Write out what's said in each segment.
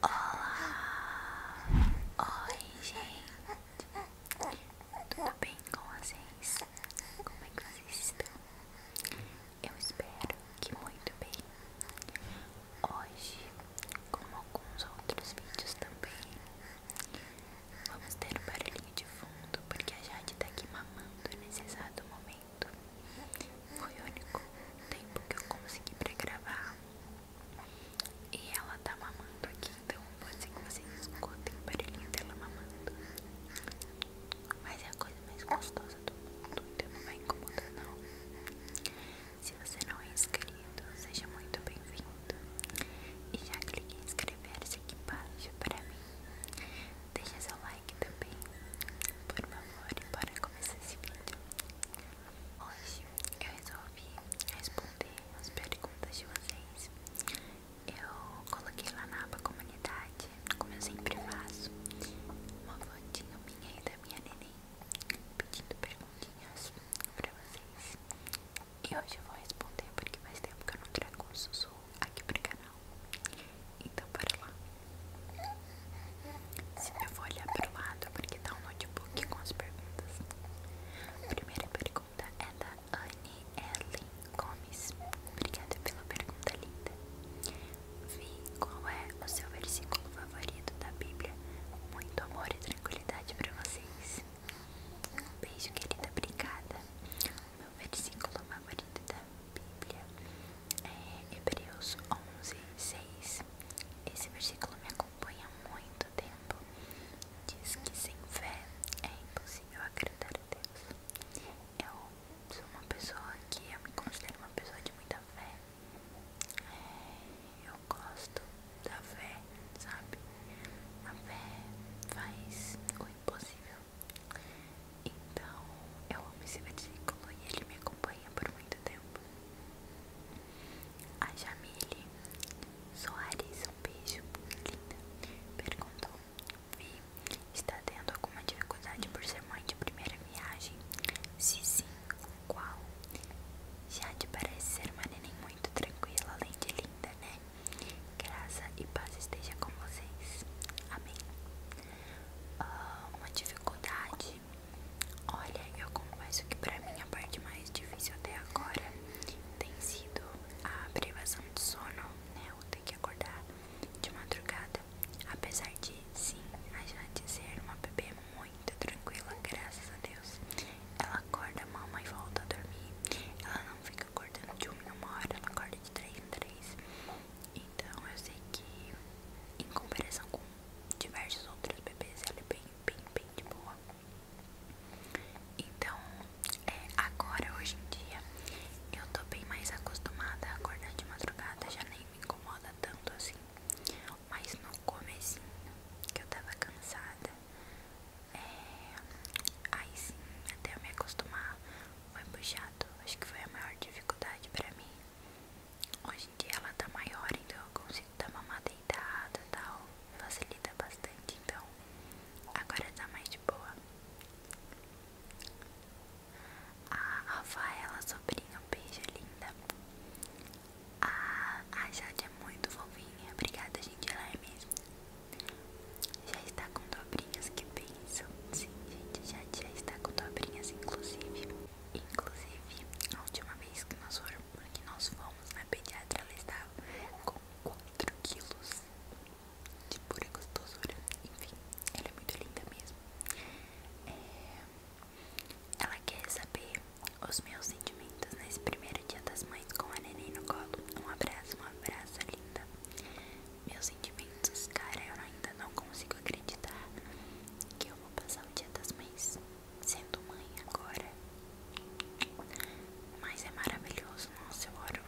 Olá! Oi, gente! Tudo bem com vocês? Como é que vocês estão? Eu espero que muito bem. Hoje, como alguns outros vídeos também, Vamos ter um barulhinho de fundo, porque a Jade tá aqui mamando nesse exato momento. Foi o único tempo que eu consegui pra gravar. E ela tá mamando aqui, então pode ser que o barulhinho dela mamando. Mas é a coisa mais gostosa do mundo, então não vai incomodar não. Se você não é inscrito, seja muito bem-vindo. E já clique em inscrever-se aqui embaixo para mim Deixa seu like também, por favor, e bora começar esse vídeo. Hoje eu resolvi responder as perguntas de vocês. Eu coloquei lá na aba comunidade, como eu sempre faço, uma fotinho minha e da minha neném, pedindo perguntinhas pra vocês. E hoje eu vou responder porque faz tempo que eu não trago um sussurro aqui pro canal. Então bora lá. Se eu vou olhar o lado porque está um notebook com as perguntas. A primeira pergunta é da Anne Ellen Gomes. Obrigada pela pergunta linda. Vi qual é o seu versículo favorito da Bíblia. Muito amor e tranquilidade para vocês. Um beijo, querida. Obrigada o versículo favorito da Bíblia é Hebreus 11, 6. Esse versículo me acompanha há muito tempo. Diz que sem fé é impossível agradar a Deus. Eu sou uma pessoa que eu me considero uma pessoa de muita fé. É, eu gosto da fé, sabe? A fé faz o possível Então, eu amo esse versículo e ele me acompanha por muito tempo. A Jamile Soares, um beijo, linda, perguntou: Vi, está tendo alguma dificuldade por ser mãe de primeira viagem? Se sim, qual? Jade parece ser uma neném muito tranquila, além de linda, né? Graça e paz esteja com vocês. Amém. Ah, uma dificuldade. Olha, eu confesso que para mim a parte mais difícil até agora tem sido a privação de sono, né? Eu tenho que acordar de madrugada. Apesar de sim, a Jade ser uma bebê muito tranquila, graças a Deus. Ela acorda, mama e volta a dormir. Ela não fica acordando de uma em uma hora, ela acorda de três em três. Então eu sei que em comparação com diversos outros bebês ela é bem, bem, bem de boa. Então é, agora hoje em dia eu tô bem mais acostumada a acordar de madrugada, já nem me incomoda tanto assim. Mas no começo que eu tava cansada é, aí sim, até eu me acostumar foi puxado. Acho que foi a maior dificuldade pra mim. Hoje em dia ela tá maior, então eu consigo dar uma mamar deitada e tal. Facilita bastante, então agora tá mais de boa. A Rafaela, sobrinha, beija linda. A, a Jade é muito fofinha. Obrigada, gente. Ela é mesmo. Já está com dobrinhas que pensam. Sim, gente, já, está com dobrinhas, inclusive. Inclusive, a última vez que nós, foram, que nós fomos na pediatra, ela estava com 4 quilos de pura gostosura. Enfim, ela é muito linda mesmo. É, ela quer saber os meus sentimentos nesse primeiro primeiro dia das mães com a neném no colo. Um abraço, um abraço, linda. Meus sentimentos, cara, eu ainda não consigo acreditar que eu vou passar o dia das mães sendo mãe agora. Mas é maravilhoso, nossa, eu oro.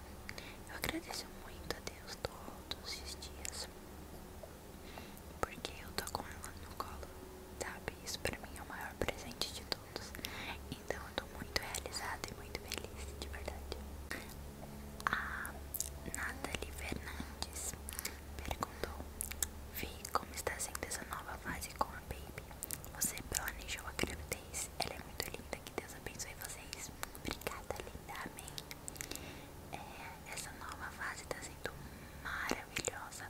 Eu agradeço muito a Deus todos os dias. Porque eu tô com ela no colo, sabe? Isso pra mim é o maior presente de então eu tô muito realizada e muito feliz, de verdade. A Nathalie Fernandes perguntou: Vi como está sendo essa nova fase com a Baby. Você planejou a gravidez? Ela é muito linda, que Deus abençoe vocês. Obrigada, linda. Amém. É, essa nova fase está sendo maravilhosa.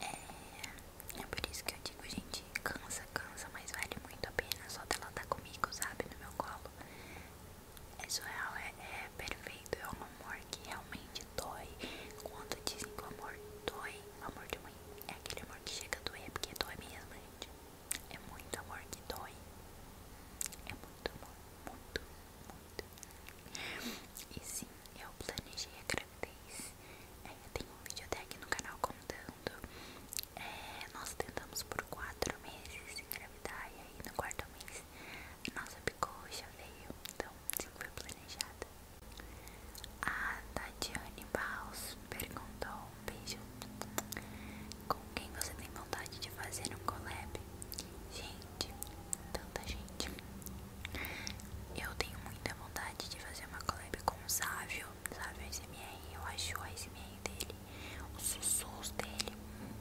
É, é por isso que eu digo, gente, cansa, cansa, mas vale muito a pena só dela estar tá comigo, sabe? No meu colo. É surreal, é, é, perfeito, é um amor que realmente dói. Quando dizem que o amor dói, amor de mãe é aquele amor que chega a doer, porque dói mesmo, gente. É muito amor que dói. É muito amor, muito, muito. E sim, eu planejei a gravidez é, tem um vídeo até aqui no canal contando. É, nós tentamos por quatro meses engravidar e aí no quarto mês a nossa picoxa veio. Então, sim, foi planejada. A Tatiane Baus perguntou: beijo. Com quem você tem vontade de fazer um collab? Gente, tanta gente. Eu tenho muita vontade de fazer uma collab com o Sávio sabe? O SMR, eu acho o SMR dele, o sussurros dele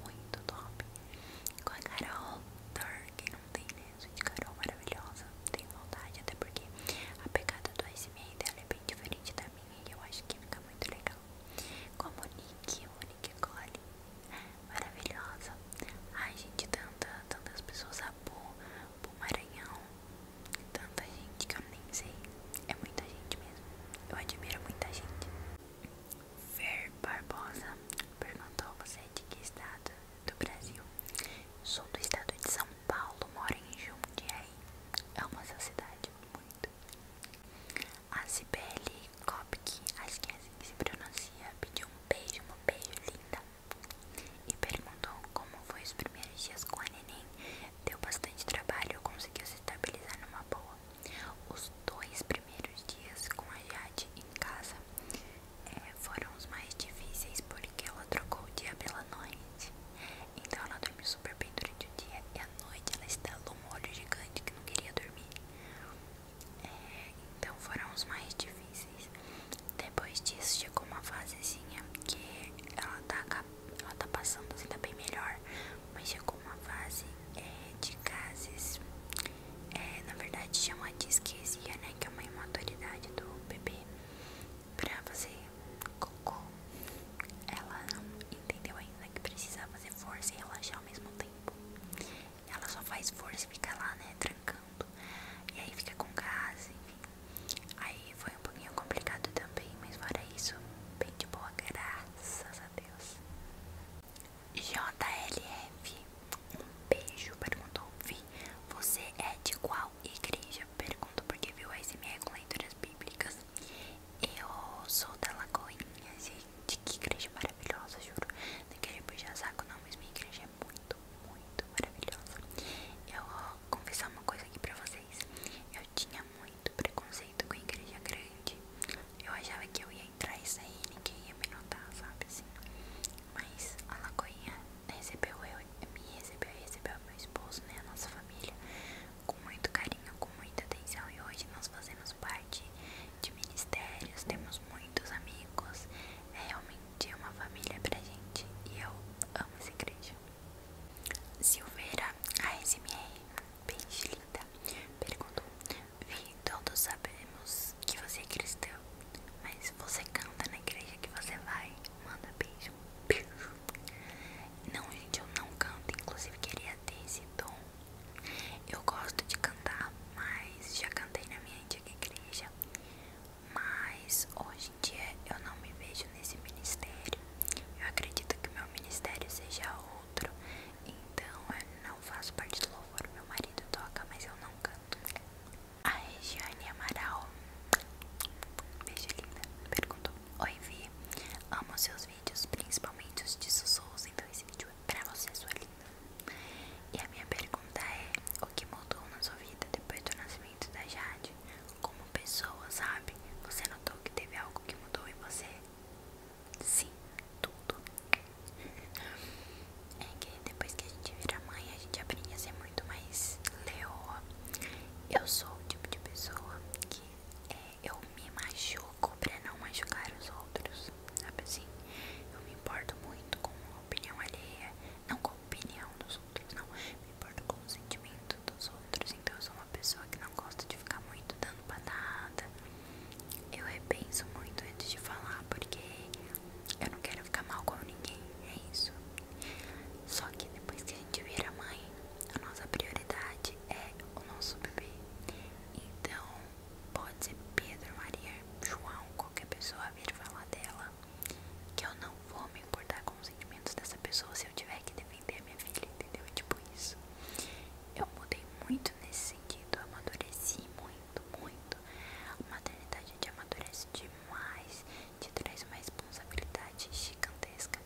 muito top. Com a Carol Turk, não tem, né? Gente, Carol maravilhosa, tenho vontade, até porque a pegada do SMR dela é bem diferente da minha e eu acho que fica muito legal. com o Nick, o Nick Cole, maravilhosa. Ai, gente, tanta, tantas pessoas. A Bu, Bu Maranhão, Tanta gente que eu nem sei. É muita gente mesmo. Eu admiro muita gente. Fer Barbosa perguntou a você é de que estado do Brasil. Sou do estado de São Paulo, moro em Jundiaí. é uma cidade muito. A Cibele Kopke, acho que é assim que se pronuncia, pediu um beijo, um beijo linda e perguntou como foi os primeiros dias com a neném. Deu bastante trabalho, conseguiu se estabilizar numa boa. Os dois primeiros dias com a Jade em casa é, foram os mais difíceis porque ela trocou o dia pela noite. Então ela dormiu super bem durante o dia e à noite ela estalou um olho gigante que não queria dormir. É, então foram os mais difíceis. Depois disso chegou uma fasezinha que ela tá, ela tá passando assim, tá bem melhor. Mas chegou uma fase é, de gases, é, na verdade chama de esquesia, né? Que é uma imaturidade do bebê pra fazer cocô. Ela não entendeu ainda que precisa fazer força e relaxar ao mesmo tempo. Ela só faz força e fica lá, né? Trancando. E aí fica com gás, enfim. Aí foi um pouquinho complicado também, mas fora isso, bem de boa, graças a Deus. JLF, um beijo, perguntou. Vi, você é de qual igreja? perguntou porque viu a SMR com leituras bíblicas. Eu sou da Lagoinha, gente. Que igreja maravilhosa, juro. Não quero puxar saco, não, mas minha igreja é muito muito, maravilhosa. Eu vou confessar uma coisa aqui pra vocês: eu tinha muito preconceito com a igreja grande. Eu achava que eu ia entrar e sair ninguém ia me notar, sabe assim? Mas a Lagoinha recebeu eu, me recebeu e recebeu meu esposo, né? A nossa família, com muito carinho, com muita atenção. E hoje nós fazemos parte de ministérios, temos muitos amigos. É realmente de uma família pra gente e eu amo essa igreja. Silveira ASMR, bem linda, perguntou: Vi, todos sabemos que você é cristão, mas você canta na igreja que você vai? Manda beijo, beijo. Não, gente, eu não canto, inclusive queria ter esse tom. Eu gosto de cantar, mas já cantei na minha antiga igreja mas hoje em dia eu não me vejo nesse ministério. Eu acredito que meu ministério seja outro, então eu não faço parte do louvor. Meu marido toca, mas eu não canto. A Regiane Amaral, beijo linda, perguntou: Oi, Vi, amo seus vídeos, principalmente os de sussurros, então esse vídeo é pra você, sua linda. E a minha pergunta é: O que mudou na sua vida depois do nascimento? da Jade como pessoa, sabe? Você notou que teve algo que mudou em você? Sim, tudo. É que depois que a gente vira mãe, a gente aprende a ser muito mais leoa. Eu sou o tipo de pessoa que é, eu me machuco pra não machucar os outros, sabe assim? Eu me importo muito com a opinião alheia não com a opinião dos outros, não me importo com o sentimento dos outros. Então eu sou uma pessoa que não gosta de ficar muito dando patada. Eu repenso muito antes de falar, porque eu não quero ficar mal com ninguém, é isso. Só que depois que a gente vira mãe, a nossa prioridade é o nosso bebê. Então, pode ser Pedro, Maria, João, qualquer pessoa vir falar dela que eu não vou me importar com os sentimentos dessa pessoa se eu tiver que defender a minha filha, entendeu? É tipo isso. Eu mudei muito nesse sentido, eu amadureci muito, muito. A maternidade te amadurece demais, te traz uma responsabilidade gigantesca.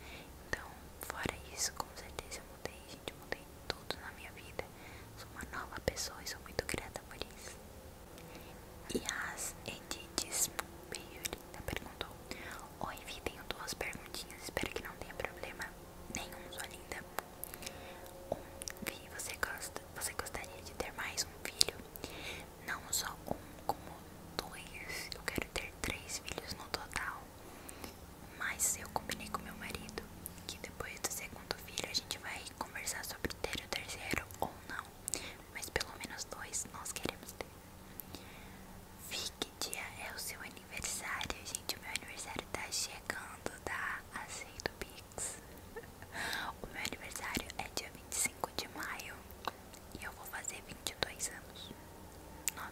Então, fora isso, com certeza eu mudei, gente, eu mudei tudo na minha vida. Sou uma nova pessoa e sou muito grata por isso. E as ediths, Edith linda, perguntou: Oi, Vi, tenho duas perguntinhas. Espero que não tenha problema nenhum, sua linda. Um, Vi, você, gosta, você gostaria de ter mais um filho? Não só um, como dois. Eu quero ter três filhos no total. Mas eu combinei com meu marido que depois do segundo filho a gente vai conversar sobre ter o terceiro ou não mas pelo menos dois nós queremos ter. Fique dia é o seu aniversário, gente. O meu aniversário tá chegando, tá? Aceito Pix. O meu aniversário é dia 25 de maio e eu vou fazer 22 anos. 9.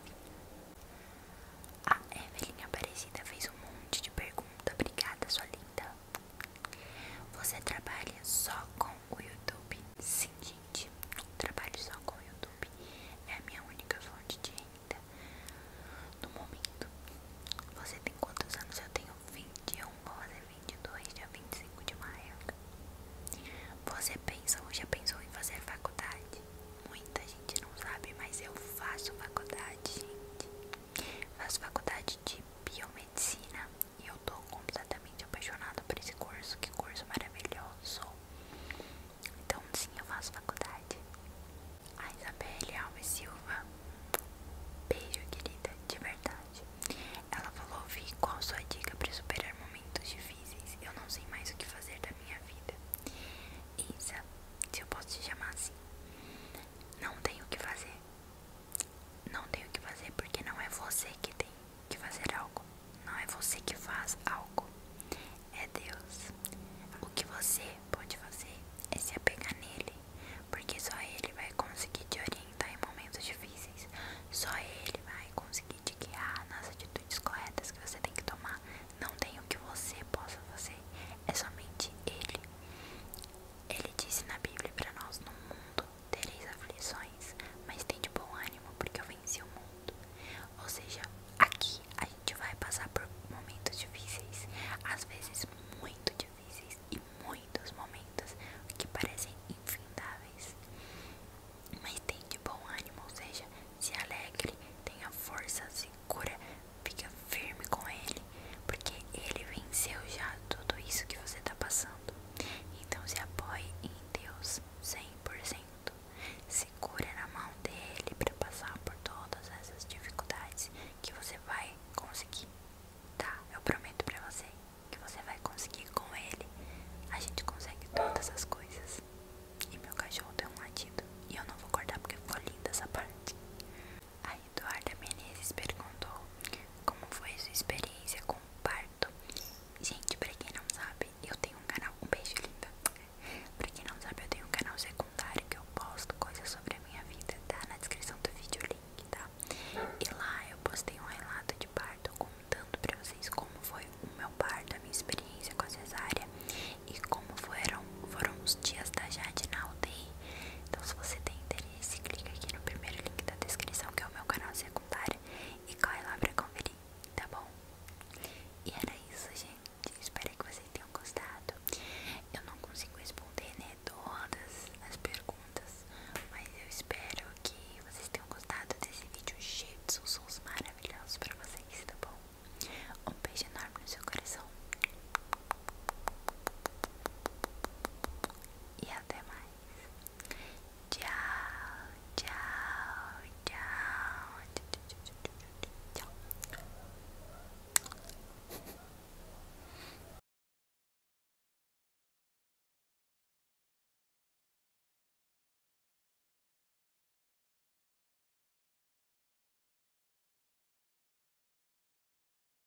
A Evelyn Aparecida fez um monte de perguntas. Obrigada, sua linda. Você trabalha só com o YouTube? Sim, gente, trabalho só com o YouTube. É a minha única fonte de renda no momento. Você tem quantos anos? Eu tenho 21, vou fazer 22, dia 25 de maio. Você pensou? ou já pensou em fazer faculdade? Muita gente não sabe, mas eu faço faculdade, gente. Faço faculdade de biomedicina e eu tô completamente apaixonada por esse curso, que curso maravilhoso. Então sim, eu faço faculdade. A Isabelle Alves Silva, beijo querida, de verdade. Ela falou, Vi, qual sua dica para superar momentos difíceis? Eu não sei mais o que fazer da minha vida. Isa, se eu posso te chamar assim, não tenho o que fazer não tenho o que fazer porque não é você que tem que fazer algo, não é você que faz algo, é Deus. O que você pode fazer é se apegar nele, porque só ele vai conseguir te orientar em momentos difíceis, só ele vai conseguir te guiar nas atitudes corretas que você tem que tomar. Não tem o que você possa fazer, é somente ele. Ele disse na Bíblia para nós: no mundo tereis aflições, mas de bom ânimo, porque eu venci o mundo. Ou seja, aqui a gente vai passar por momentos difíceis, às vezes muito difíceis e muitos momentos que parecem infindáveis. Mas de bom ânimo, ou seja, se alegre, tenha força, segura, fique firme com ele, porque ele venceu já tudo isso que você está passando. Então se apoie em Deus 100%. Segura na mão dele para passar por todas essas dificuldades que você vai conseguir. Tá? Eu prometo para você que você vai conseguir com ele. A gente consegue todas as coisas. E meu cachorro deu um latido. E eu não vou cortar porque ficou linda essa parte. Aí Eduarda Menezes perguntou como foi sua experiência com o parto. Gente, pra quem não sabe, eu tenho um canal, um beijo linda. Pra quem não sabe, eu tenho um canal secundário que eu posto coisas sobre a minha vida, tá? Na descrição do vídeo o link, tá? E lá eu postei um relato de parto contando pra vocês como foi o meu parto, a minha experiência com a cesárea e como foram, foram os dias da Jade na UTI. Então se você tem interesse e se clica aqui no primeiro link da descrição, que é o meu canal secundário, e corre lá pra conferir, tá bom? E era isso, gente. Espero que vocês tenham gostado. Eu não consigo responder, né, todas as perguntas, mas eu espero que vocês tenham gostado desse vídeo cheio de sons maravilhosos pra vocês, tá bom? Um beijo enorme no seu coração. E até mais. Tchau, tchau, tchau. Tchau.